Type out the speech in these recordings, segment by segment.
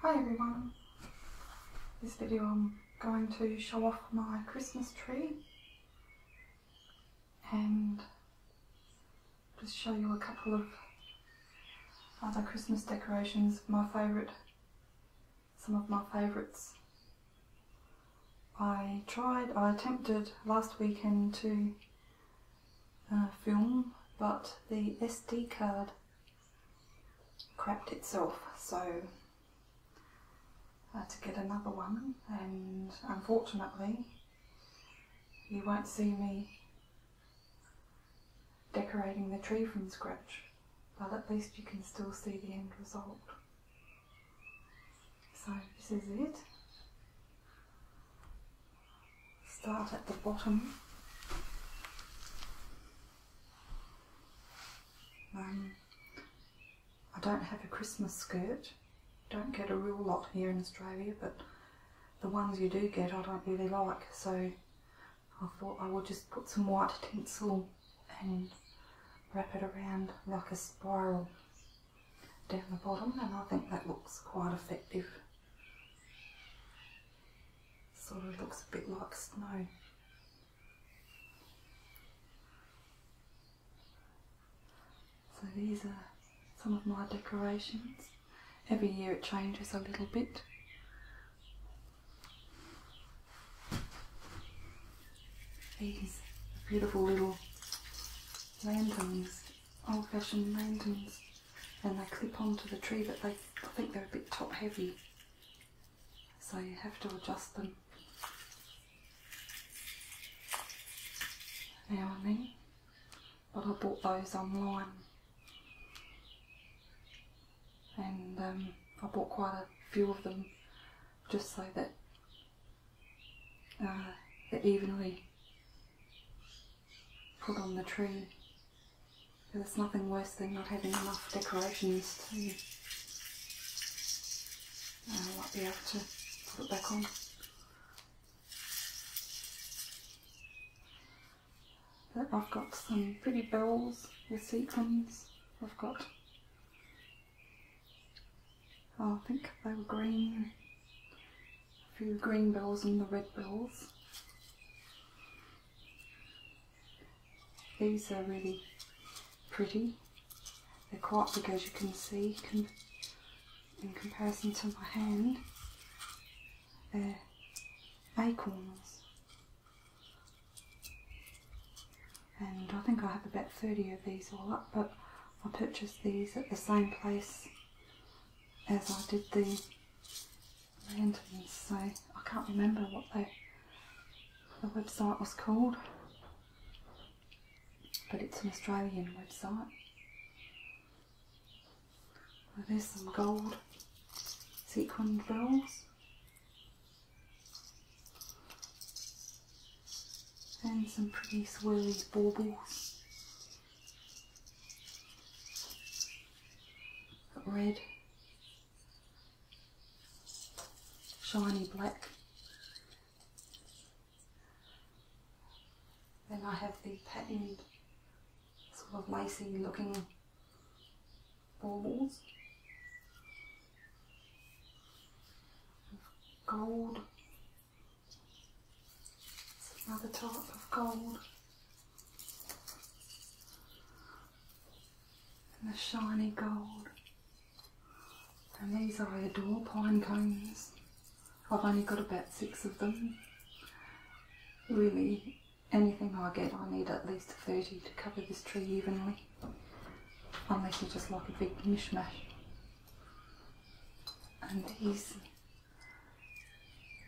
Hi everyone. This video I'm going to show off my Christmas tree and just show you a couple of other Christmas decorations, my favourite some of my favourites. I tried, I attempted last weekend to uh, film, but the SD card crapped itself, so I had to get another one, and unfortunately, you won't see me decorating the tree from scratch, but at least you can still see the end result. So this is it. Start at the bottom. Um, I don't have a Christmas skirt. Don't get a real lot here in Australia, but the ones you do get I don't really like, so I thought I would just put some white tinsel and wrap it around like a spiral down the bottom and I think that looks quite effective. Sort of looks a bit like snow. So these are some of my decorations. Every year it changes a little bit. These are beautiful little lanterns, old-fashioned lanterns, and they clip onto the tree, but they I think they're a bit top-heavy, so you have to adjust them now then. But I bought those online and um, I bought quite a few of them just so that uh, they evenly put on the tree. There's nothing worse than not having enough decorations to uh, be able to put it back on. I've got some pretty bells with sequins. I've got, oh, I think they were green, a few green bells and the red bells. These are really pretty. They're quite big as you can see in comparison to my hand. They're acorns. And I think I have about 30 of these all up, but I purchased these at the same place as I did the lanterns, so I can't remember what the website was called, but it's an Australian website. there's some gold sequin balls. And some pretty swirly baubles. Got red, shiny black. Then I have the patterned sort of lacy looking balls gold. another top of gold. And the shiny gold. And these I adore, pine cones. I've only got about six of them. Really anything I get, I need at least 30 to cover this tree evenly. Unless you just like a big mishmash. And these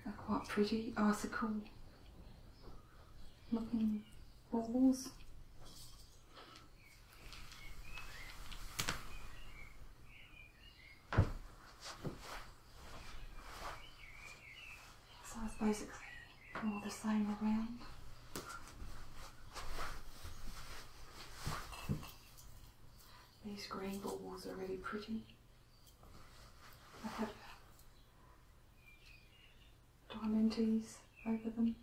are quite pretty article looking balls. So it's basically all the same around. These green balls are really pretty. I have diamantes over them.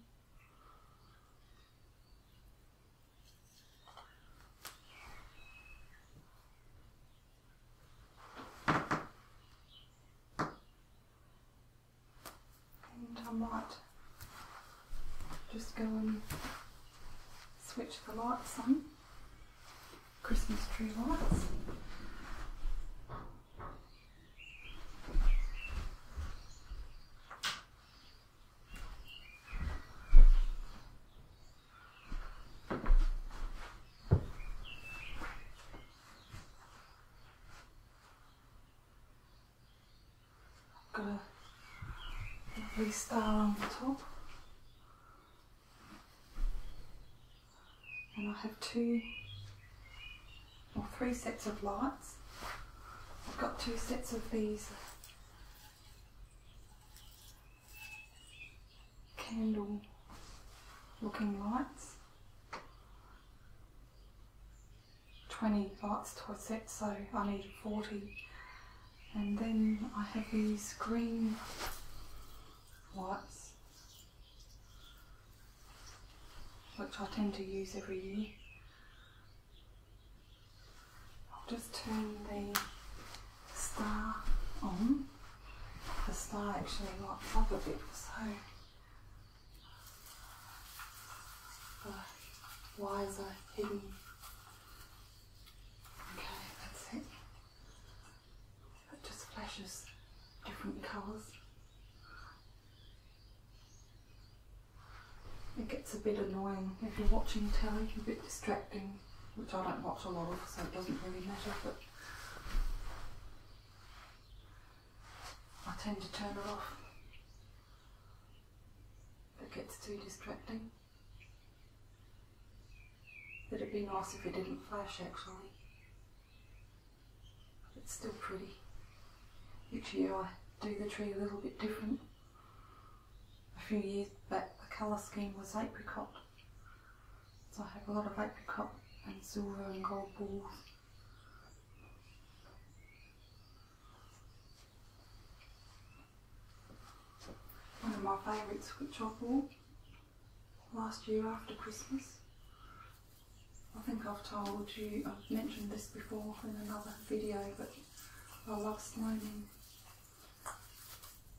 And I just go and switch the lights on, Christmas tree lights. I've Got a lovely star on the top. And I have two or three sets of lights. I've got two sets of these candle looking lights. 20 lights to a set, so I need 40. And then I have these green lights, which I tend to use every year. I'll just turn the star on the star actually lights up a bit, so the wires are hidden. Okay, that's it. It just flashes different colours. It gets a bit annoying if you're watching telly, a bit distracting, which I don't watch a lot of, so it doesn't really matter. But I tend to turn it off. It gets too distracting. It'd be nice if it didn't flash actually. It's still pretty. Each year I do the tree a little bit different. A few years back the colour scheme was apricot. So I have a lot of like cup and silver and gold balls. One of my favourites which I bought last year after Christmas. I think I've told you, I've mentioned this before in another video, but I love snowmen.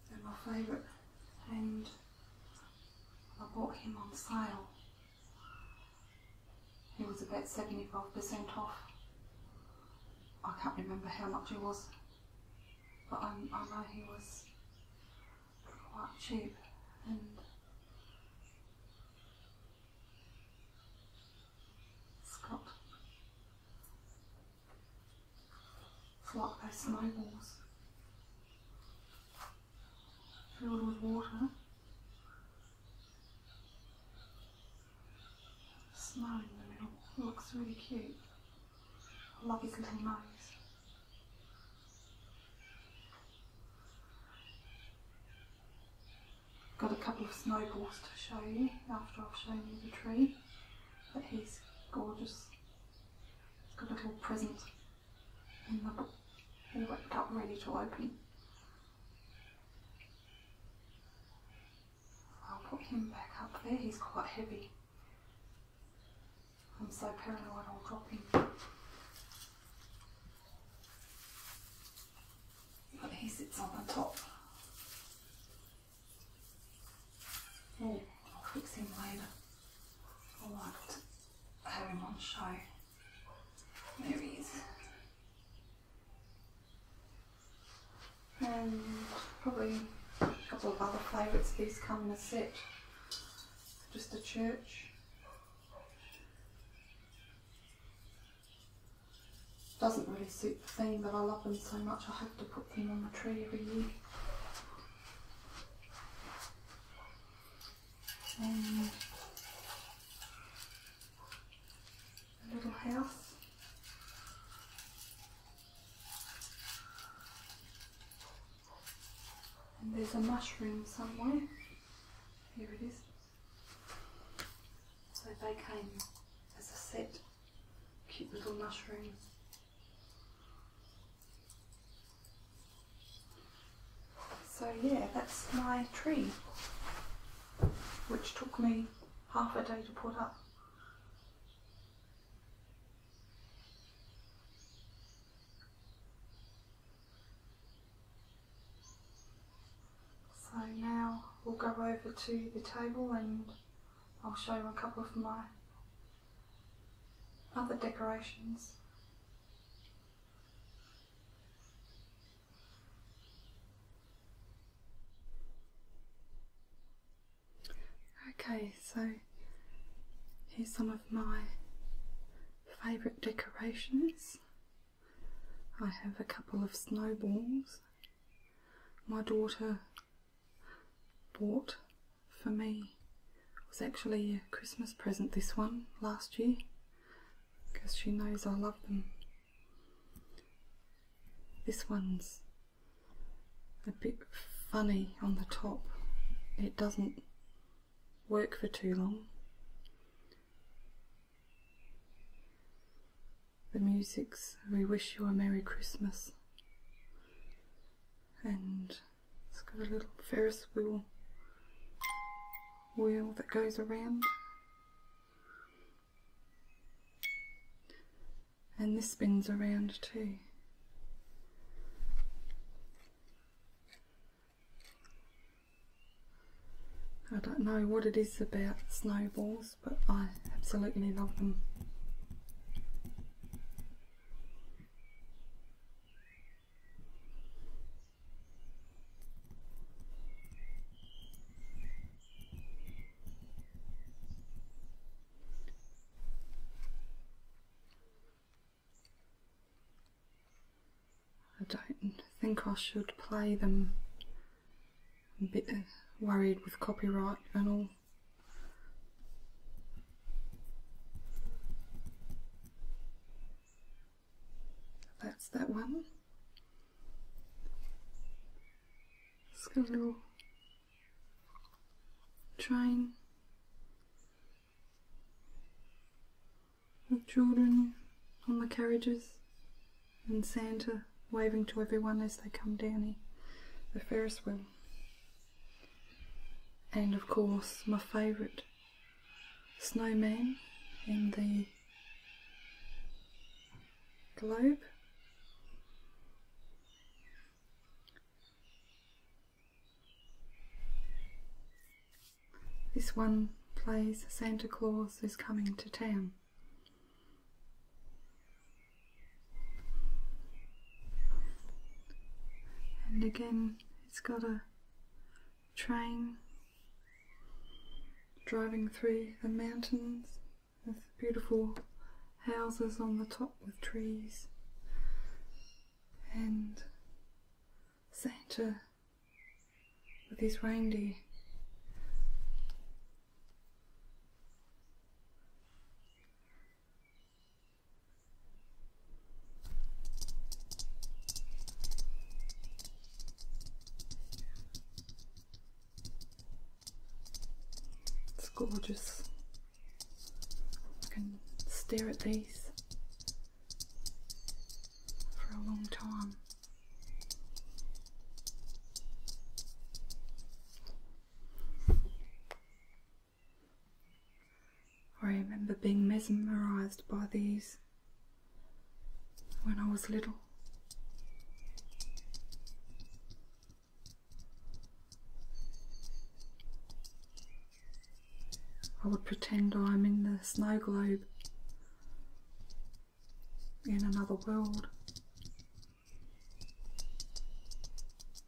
They're my favourite and I bought him on sale. He was about 75% off. I can't remember how much it was, but I, I know he was quite cheap and Scott flock past my walls, filled with water, smiling in the middle, looks really cute. I love his little nose. Got a couple of snowballs to show you after I've shown you the tree, but he's gorgeous. He's got a little present and look, and ready to open. I'll put him back up there, he's quite heavy. I'm so paranoid I'll drop him. But he sits on the top. Oh, I'll fix him later. I liked having on show. There he is. And probably a couple of other favourites. These come in a set. Just a church. Doesn't really suit the theme, but I love them so much I hope to put them on the tree every and a little house. And there's a mushroom somewhere. Here it is. So they came as a set, cute little mushrooms. So yeah, that's my tree, which took me half a day to put up. So now we'll go over to the table and I'll show you a couple of my other decorations. Okay, so here's some of my favourite decorations. I have a couple of snowballs. My daughter bought for me was actually a Christmas present, this one, last year, because she knows I love them. This one's a bit funny on the top. It doesn't work for too long. The music's We Wish You a Merry Christmas. And it's got a little Ferris wheel wheel that goes around. And this spins around too. I don't know what it is about snowballs, but I absolutely love them. I don't think I should play them. bit worried with copyright and all. That's that one. Just gonna try and the children on the carriages and Santa waving to everyone as they come down the Ferris wheel and of course my favourite snowman in the globe. This one plays Santa Claus is coming to town. And again, it's got a train driving through the mountains with beautiful houses on the top with trees and Santa with his reindeer. It's gorgeous. I can stare at these for a long time. I remember being mesmerized by these when I was little. I would pretend I'm in the snow globe in another world.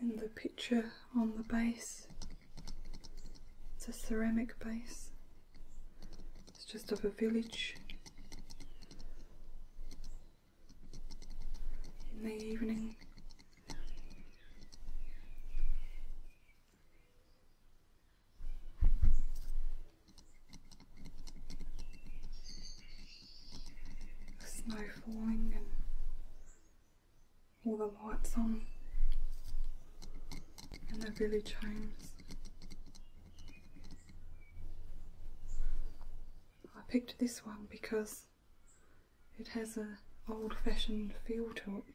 And the picture on the base, it's a ceramic base, it's just of a village. In the evening, the snow falling and all the lights on and the village homes. I picked this one because it has a old-fashioned feel to it.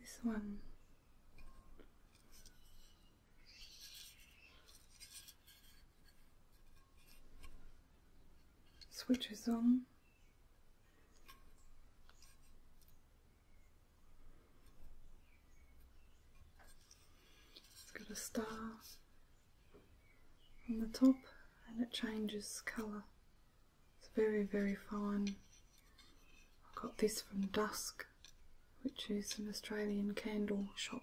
This one. Switches on it's got a star on the top and it changes colour. It's very, very fine. I got this from Dusk, which is an Australian candle shop.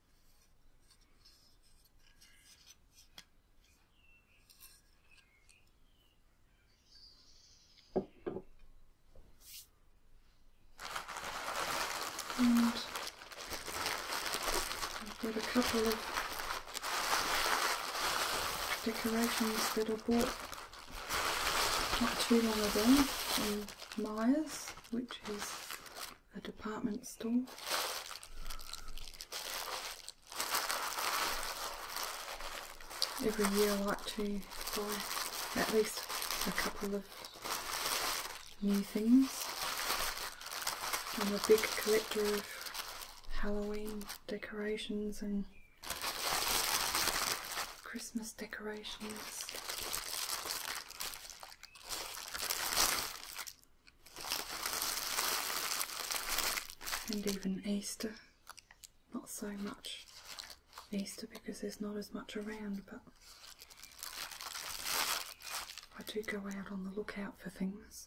And I've got a couple of decorations that I bought not too long ago from Myers, which is a department store. Every year I like to buy at least a couple of new things. I'm a big collector of Halloween decorations and Christmas decorations. And even Easter, not so much Easter because there's not as much around, but I do go out on the lookout for things.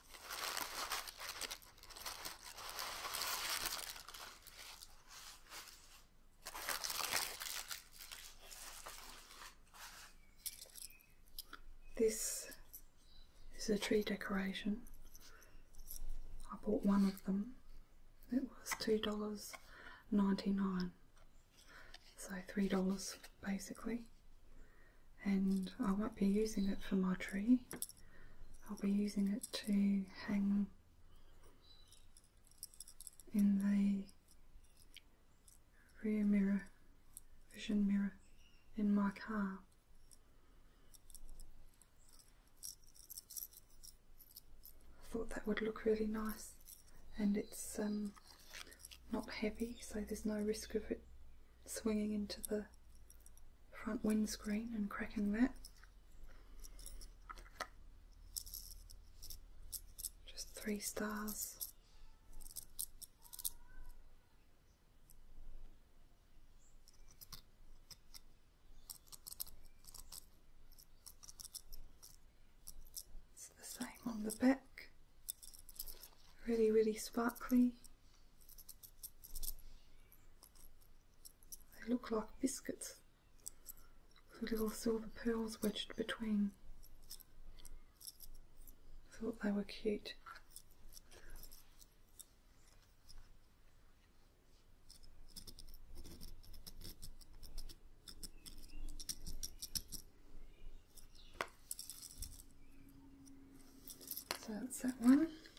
This is a tree decoration. I bought one of them. It was $2.99, so $3 basically and I won't be using it for my tree. I'll be using it to hang in the rear mirror, vision mirror in my car. I thought that would look really nice and it's um, not heavy so there's no risk of it swinging into the front windscreen and cracking that. Just three stars. It's the same on the back. Really, really sparkly. They look like biscuits with little silver pearls wedged between. I thought they were cute. So that's that one.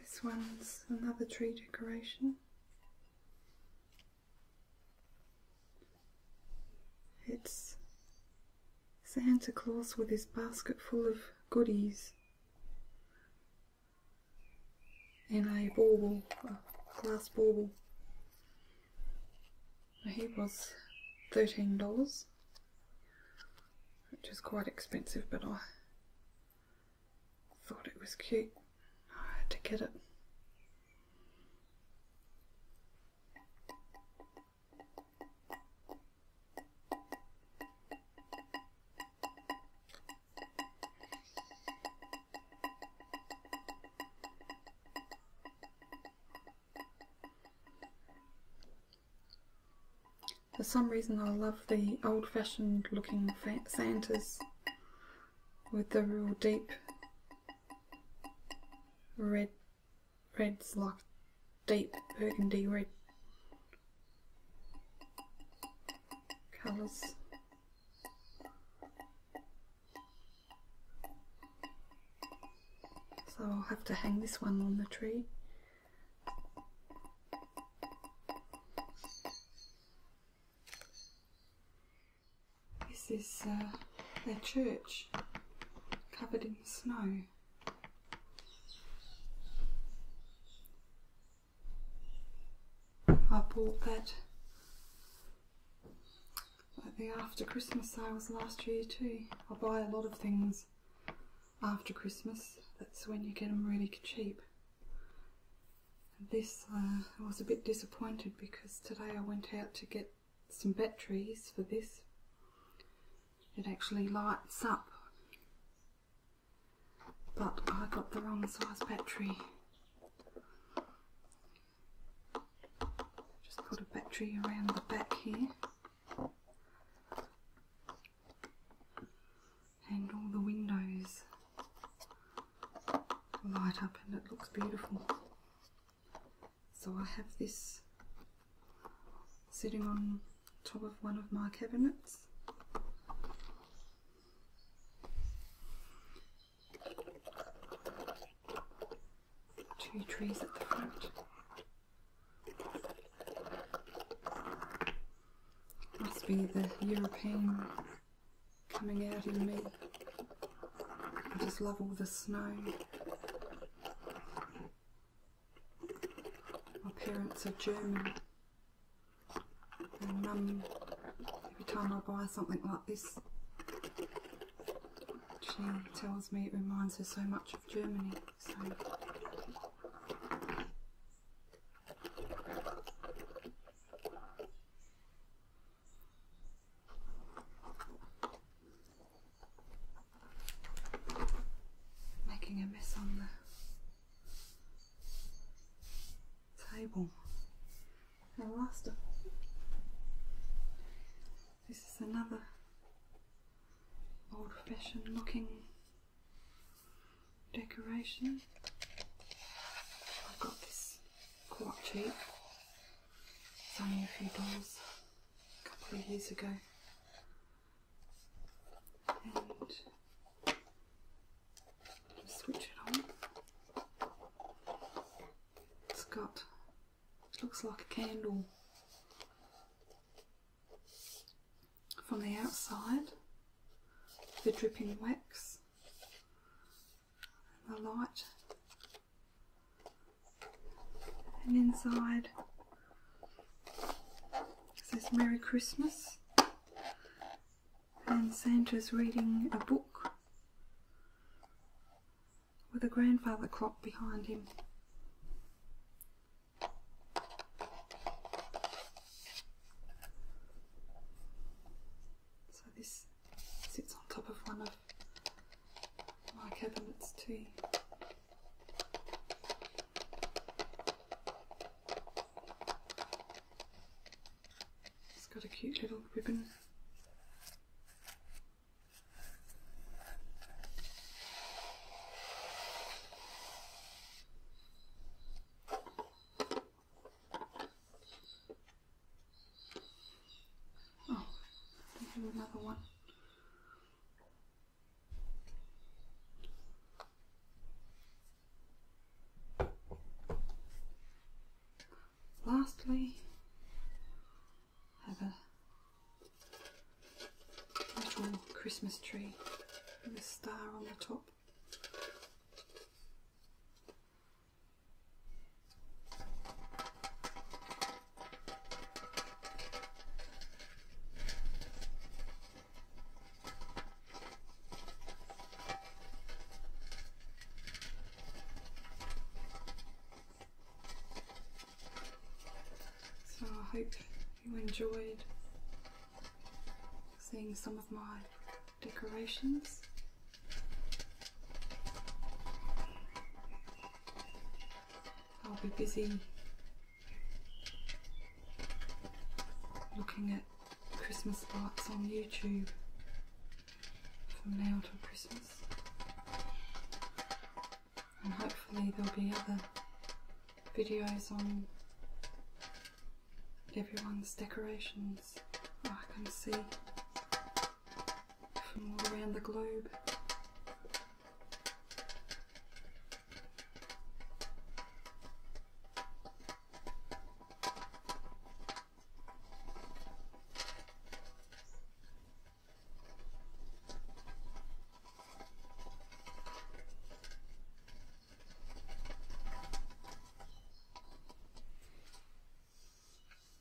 This one's another tree decoration. It's Santa Claus with his basket full of goodies in a bauble, a glass bauble. He was $13, which is quite expensive, but I thought it was cute. I had to get it. For some reason, I love the old fashioned looking Santas with the real deep Red, red's like deep burgundy red colours. So I'll have to hang this one on the tree. This is uh, their church, covered in snow. I bought that at the after Christmas sale last year too. I buy a lot of things after Christmas. That's when you get them really cheap. this, uh, I was a bit disappointed because today I went out to get some batteries for this. It actually lights up. But I got the wrong size battery. Just put a battery around the back here. And all the windows light up and it looks beautiful. So I have this sitting on top of one of my cabinets. Two trees at the front. Must be the European coming out in me. I just love all the snow. My parents are German. And mum, every time I buy something like this, she tells me it reminds her so much of Germany. Making a mess on the table. And last of this is another old fashioned looking decoration. I've got this quite cheap it's only a few doors, a couple of years ago. And switch it on. It's got, looks like a candle from the outside, the dripping wax, and the light and inside says Merry Christmas and Santa's reading a book with a grandfather clock behind him. So this sits on top of one of my cabinets too. It's got a cute little ribbon. Oh, they have another one. Lastly, have a little Christmas tree with a star on the top. So I hope you enjoyed seeing some of my decorations. I'll be busy looking at Christmas lights on YouTube from now till Christmas and hopefully there'll be other videos on everyone's decorations I can see from all around the globe.